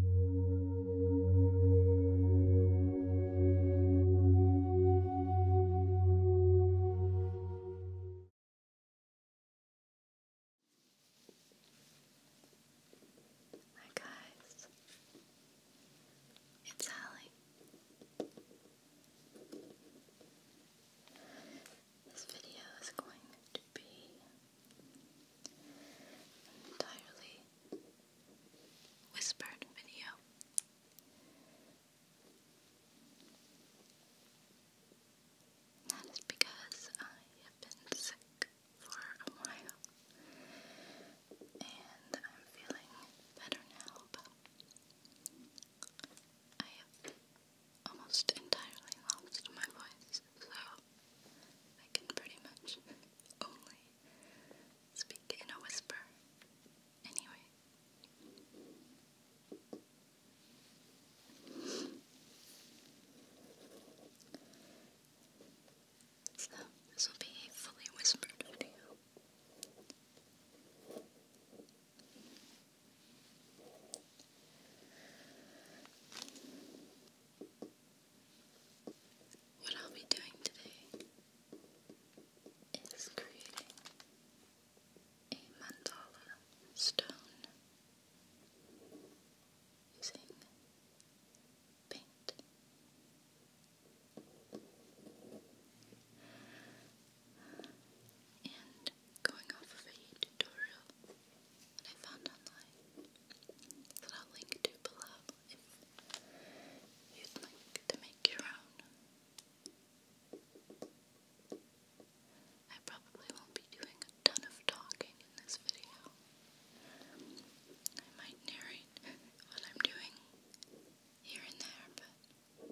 Hi guys, it's Allie. This video is going to be entirely whispered video. That is because I have been sick for a while and I'm feeling better now, but I have almost entirely lost my voice, so I can pretty much only speak in a whisper. Anyway. So, this will be a fully whispered video. What I'll be doing today is creating a mandala stone using paint. And going off of a tutorial that I found online that I'll link to below if you'd like to make your own. I probably won't be doing a ton of talking in this video. I might narrate what I'm doing here and there, but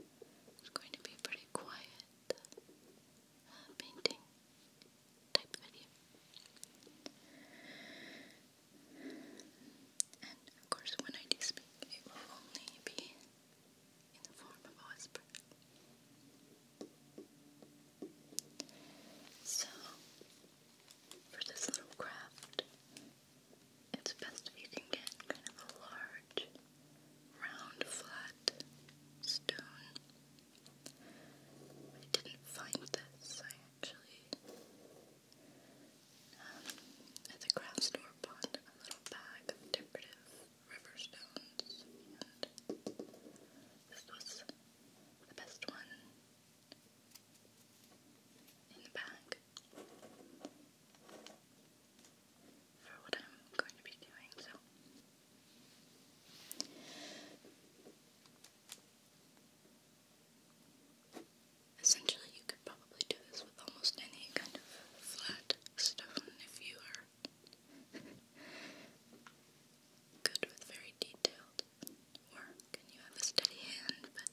it's going to be pretty quiet uh, painting type of course, when I speak, it will only be in the form of a whisper. So, for this little craft, it's best if you can get kind of a large, round, flat stone. I didn't find this, actually. Um, at the craft store, bought a little bag of decorative river stones, and this was the best one in the bag for what I'm going to be doing. So. Essentially, you could probably do this with almost any kind of flat stone if you are good with very detailed work and you have a steady hand, but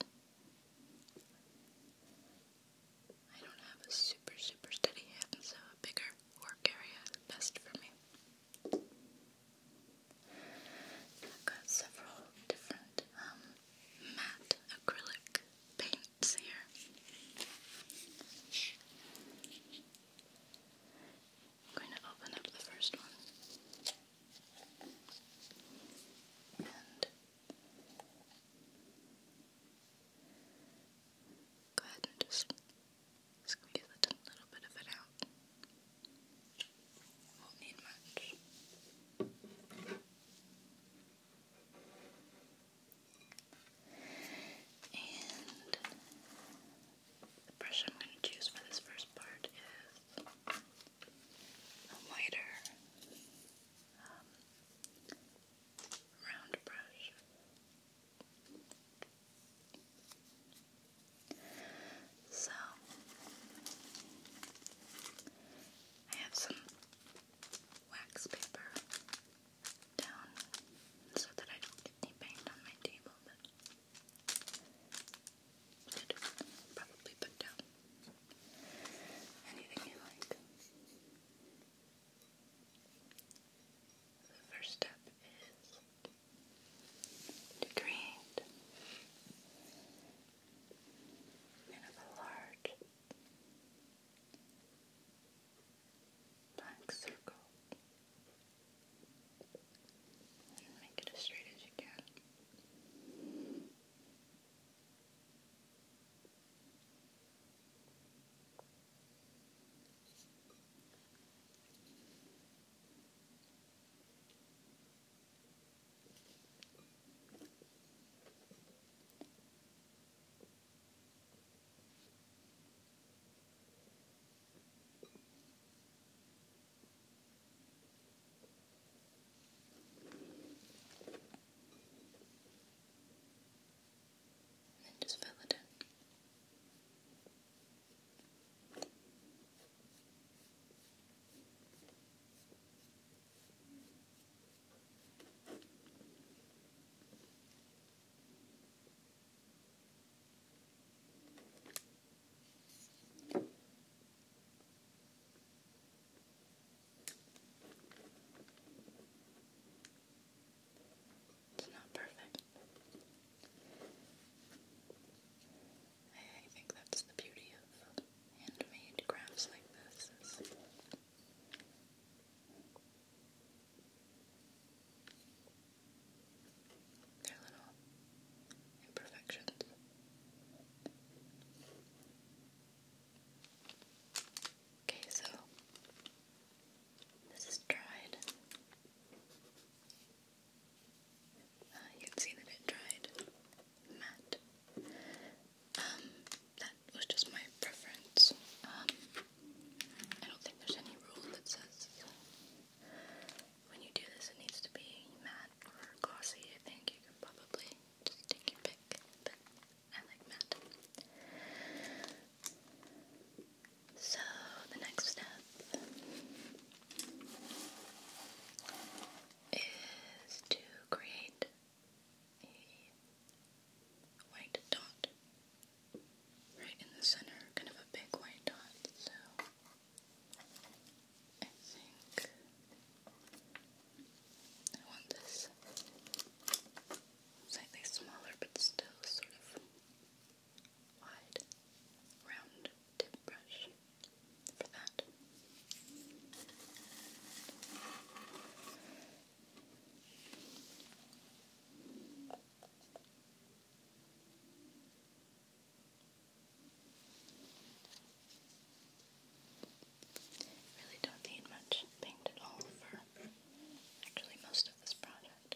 I don't have a super, super steady hand, so a bigger work area is best for me. I've got several different um, matte acrylic paints here. I'm going to open up the first one. And go ahead and just squeeze a little bit of it out. Won't need much. And the brush I'm going to choose for this first part is a lighter um, round brush. So, I have some wax paper down so that I don't get any paint on my table, but should probably put down anything you like. The first step is to create and a large black circle. And make it as straight as you can. And then just fill it in. It's not perfect. I think that's the beauty of handmade crafts like this is their little imperfections. Okay, so this is dried. Uh, you can see that it dried matte. Um, that was just my preference. Um, I don't think there's any rule that says when you do this it needs to be matte or glossy. I think you can probably just take your pick, but I like matte. So the next step is to create a white dot right in the center, kind of a big white dot. So I think I want this slightly smaller but still sort of wide, round tip brush for that. Really don't need much paint at all for actually most of this project.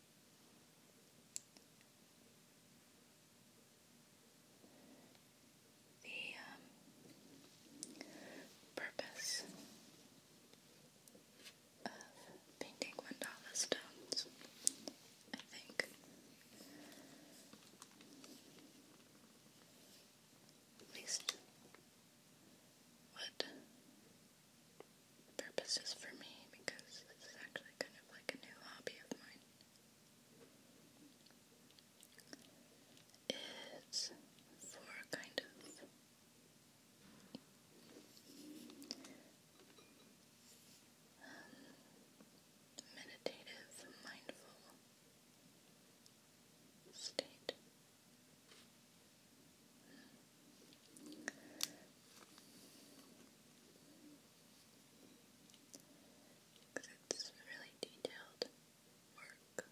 The um, purpose of painting mandala stones, I think, at least what Purpose is for me because this is actually kind of like a new hobby of mine. It's for kind of meditative, mindful state. Because it's really detailed work.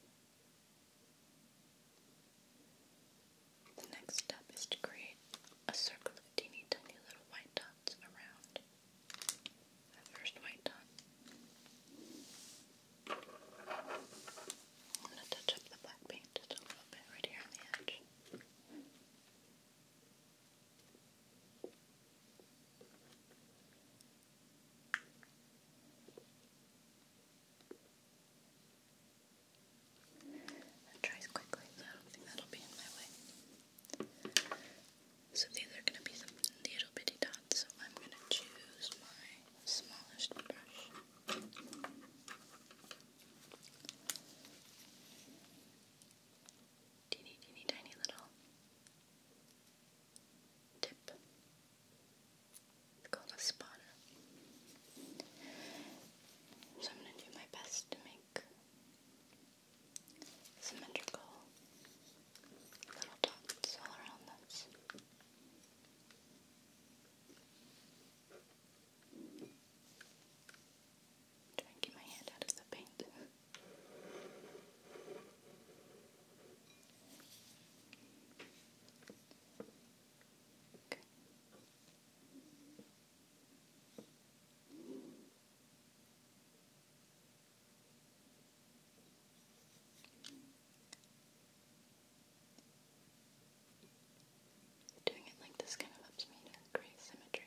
The next step is to create a circle of teeny tiny little white dots around that first white dot. I'm going to touch up the black paint just a little bit right here on the edge. That dries quickly, so I don't think that'll be in my way. So these are going to be some little bitty dots, so I'm going to choose my smallest brush teeny, teeny, tiny little tip. It's called a spotter. So I'm going to do my best to make symmetrical little dots all around this. Try and get my hand out of the paint. Okay. Doing it like this kind of helps me create symmetry.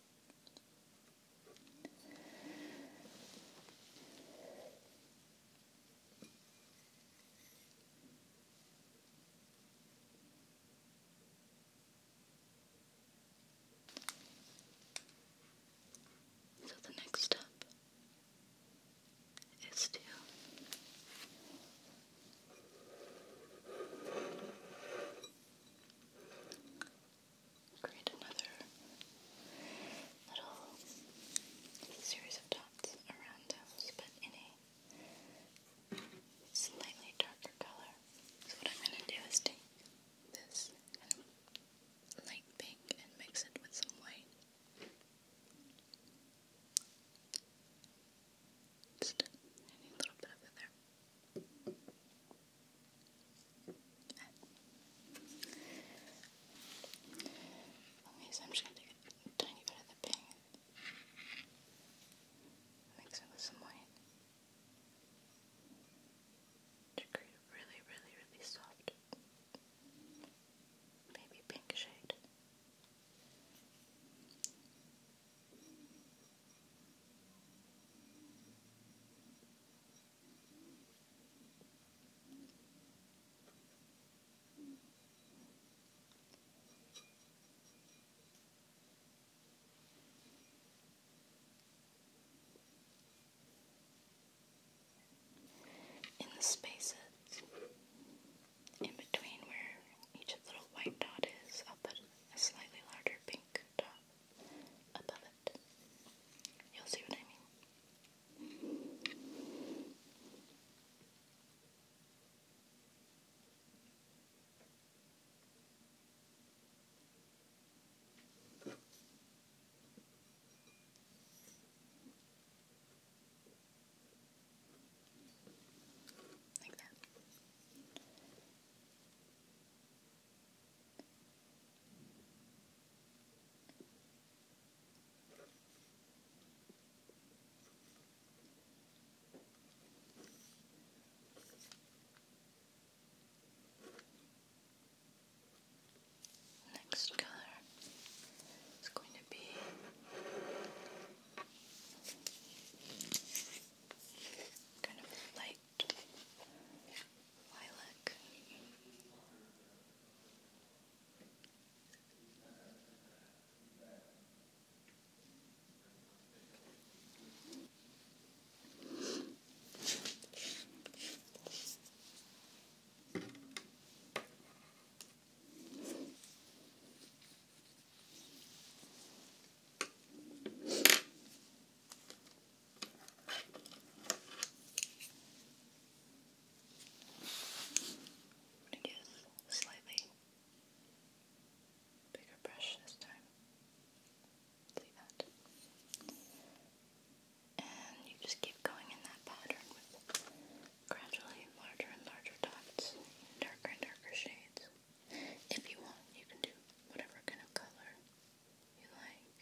So the next step is to create another little series of dots around those, but in a slightly darker color. So what I'm going to do is take this light pink and mix it with some white. Just a little bit of it there. Okay, so I'm just gonna take a tiny bit of the pink, mix it with some white to create a really, really, really soft, maybe pink shade. In the spaces in between where each little white dot is, up will a slightly larger pink dot above it. You'll see what I mean. Like that. Next color is going to be kind of light lilac i bigger brush this time. See that? And you just keep going in that pattern with gradually larger and larger dots, darker and darker shades. If you want, you can do whatever kind of color you like.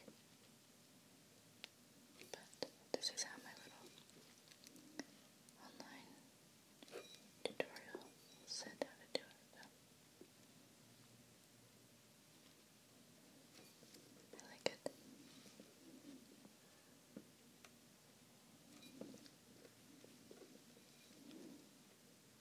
But this is how my little online tutorial said how to do it. I like it.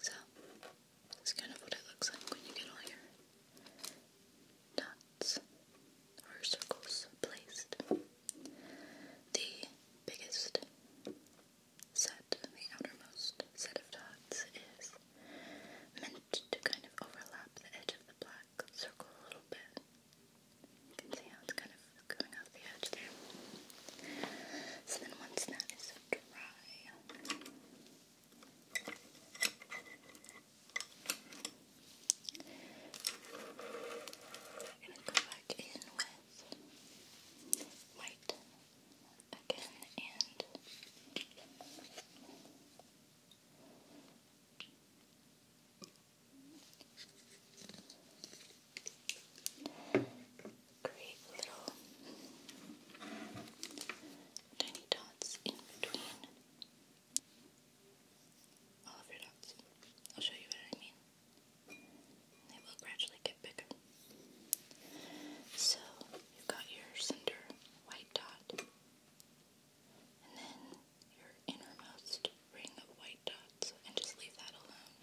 So, that's kind of what it looks like when you get all your dots or circles placed. The biggest set, the outermost set of dots is meant to kind of overlap the edge of the black black circle a little bit. You can see how it's kind of coming off the edge there. So then once that is dry, we're gonna go back in with white again and create little tiny dots in between all of your dots. I'll show you what I mean. They will gradually get bigger. So you've got your center white dot and then your innermost ring of white dots, and just leave that alone.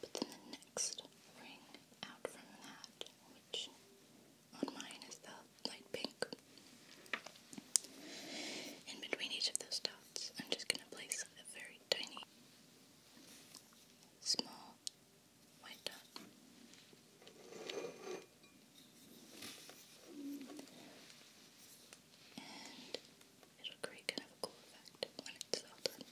But then the next ring out from that, which on mine is the light pink. In between each of those dots, I'm just going to place a very tiny, small white dot and it'll create kind of a cool effect when it's all done.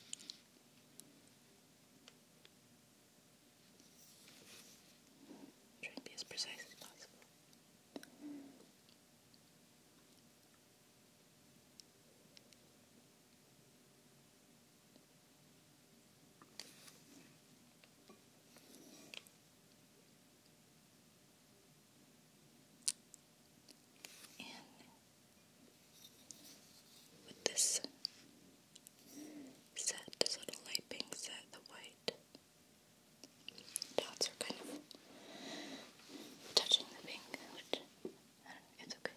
trying to be as precise as possible with this set, this little light pink set, the white dots are kind of touching the pink, which it's okay.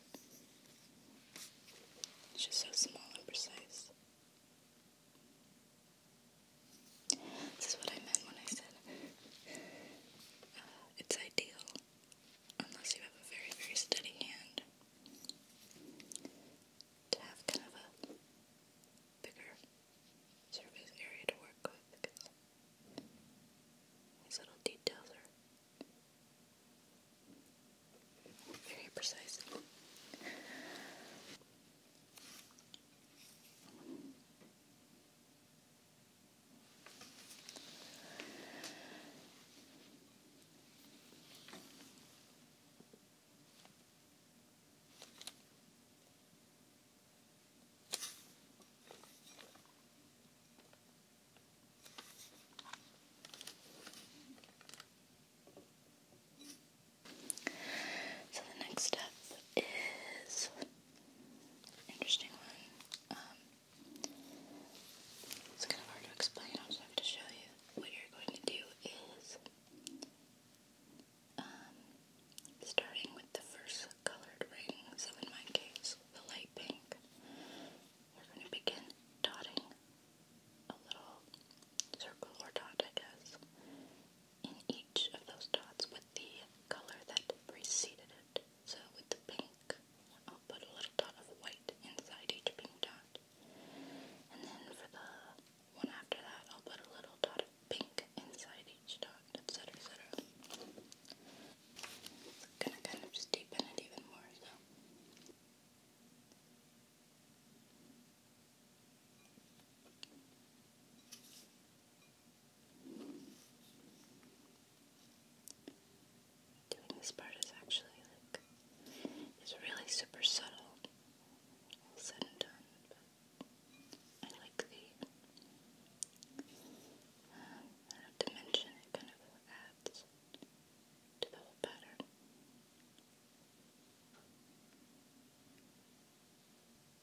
It's just so small and precise. This is what I meant when I said uh, it's ideal unless you have a very, very steady hand to have kind of a bigger surface area to work with these little details are very precise. So the next step is interesting one. Um, it's kind of hard to explain. I'm just happy to show you. What you're going to do is um, starting with the first colored ring, so in my case, the light pink, we're going to begin dotting a little circle or dot, I guess, in each of those dots with the color that preceded it. So with the pink, I'll put a little dot of white inside each pink dot. And then for the one after that, I'll put a little dot of pink inside each dot, etc., etc. It's gonna kind of just deepen it even more, so. Doing this part is actually like, it's really super subtle, all said and done, but I like the dimension, uh, it kind of adds to the whole pattern.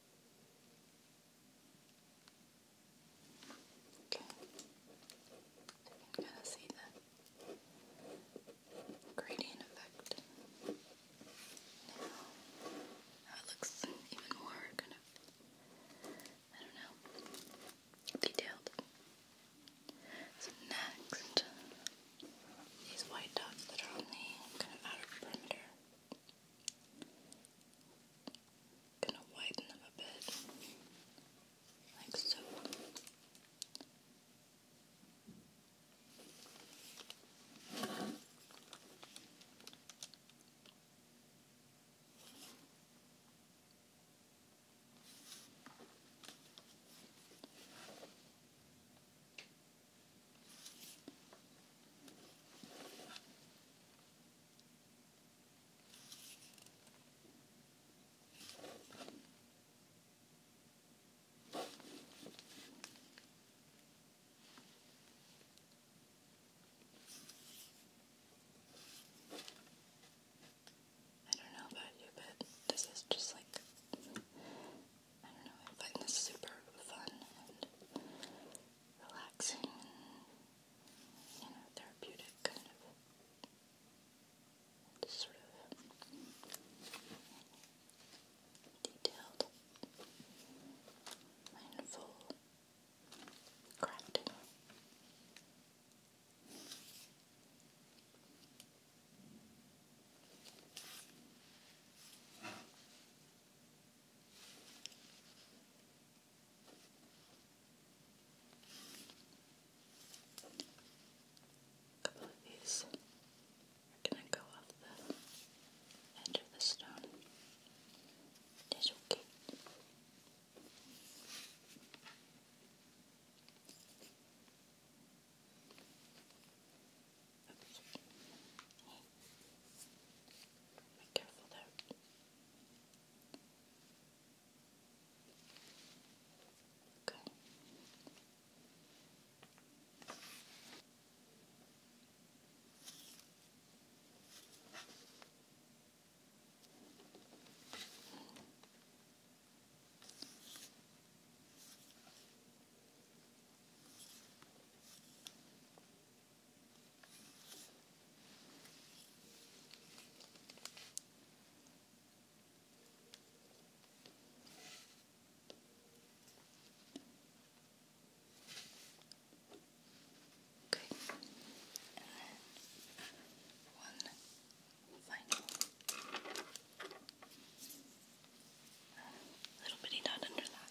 Okay. you can kind see the gradient effect. Now, it looks even more kind of, I don't know, detailed. So next, these white dots that are on the kind of perimeter Gonna widen them a bit, like so. I don't know about you, but this is just like, I don't know, I find this super fun and relaxing you know, therapeutic kind of sort of detailed, mindful crafting. A couple of these are going to go off the edge of the stone. okay. Oops. Hey. Be careful there. Okay. Okay, and one final little bitty dot under that.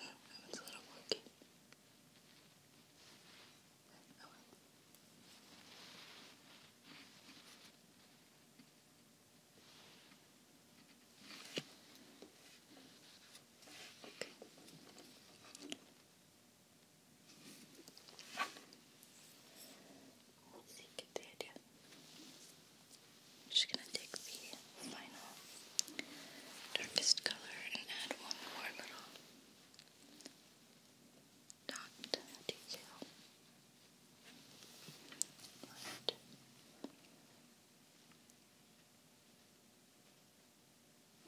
Oh, that a little wonky. Okay. I'm just gonna take the final darkest color and add one more little dot detail.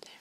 There.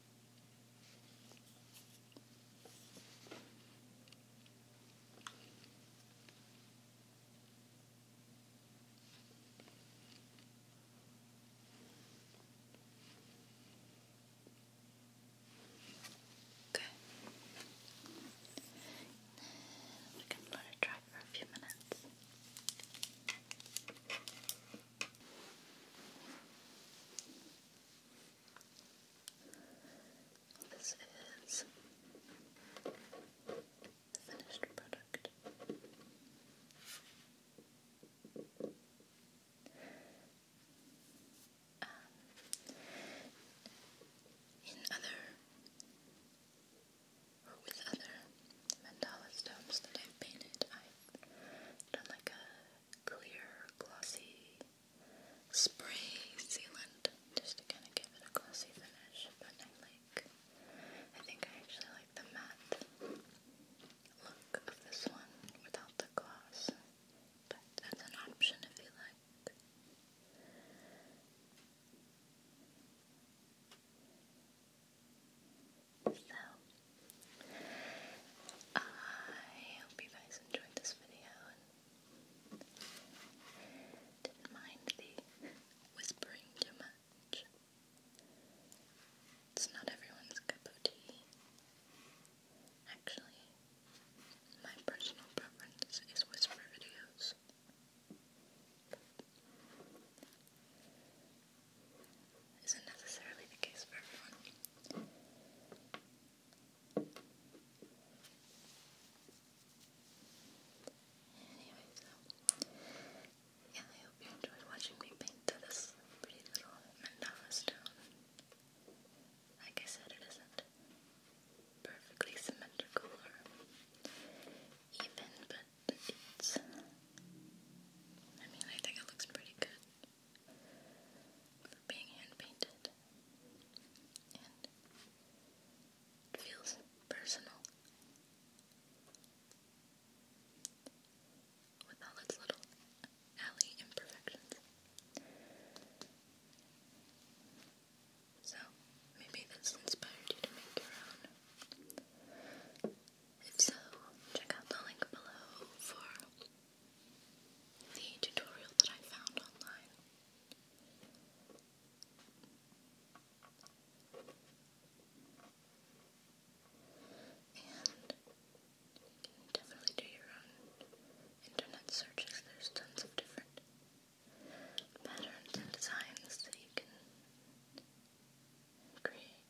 Okay. We can let it dry for a few minutes. This is the finished product. Um, in other, with other mandala stones that I've painted, I've done like a clear, glossy spray sealant just to kind of give it a glossy finish. But I like, I think I actually like the matte look of this one without the gloss. But that's an option if you like. So, I hope you guys enjoyed this video didn't mind the whispering too much. It's not everyone's cup of tea. Actually, my personal preference is whisper videos isn't necessarily the case for everyone. Anyway, so yeah, I hope you enjoyed watching me paint this pretty little mandala stone. Like I said, it isn't perfectly symmetrical even, but it's. I mean, I think it looks pretty good being hand painted, and it feels personal with all its little alley imperfections. So, maybe this inspired you to make your own. If so, check out the link below for the tutorial that I found online. And you definitely do your own internet searches. There's tons of different patterns and designs that you can create.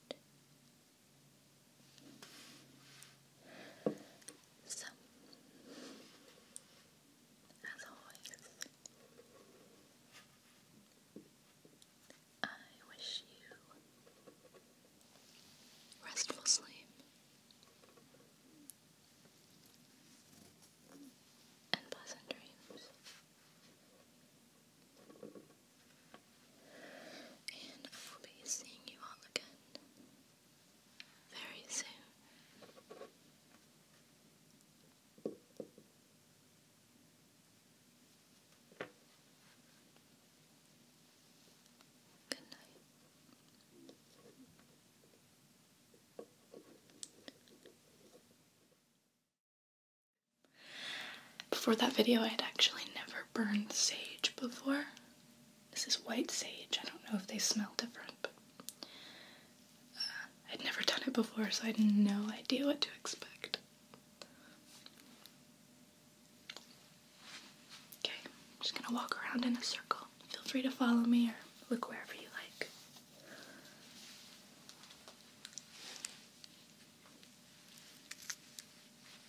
So, as always, I wish you restful sleep and pleasant dreams and I will be seeing you all again very soon. Good night. Before that video, I had actually never burned sage before, this is white sage. I don't know if they smell different, but uh, I'd never done it before, so I had no idea what to expect. Okay, I'm just gonna walk around in a circle. Feel free to follow me or look wherever you like.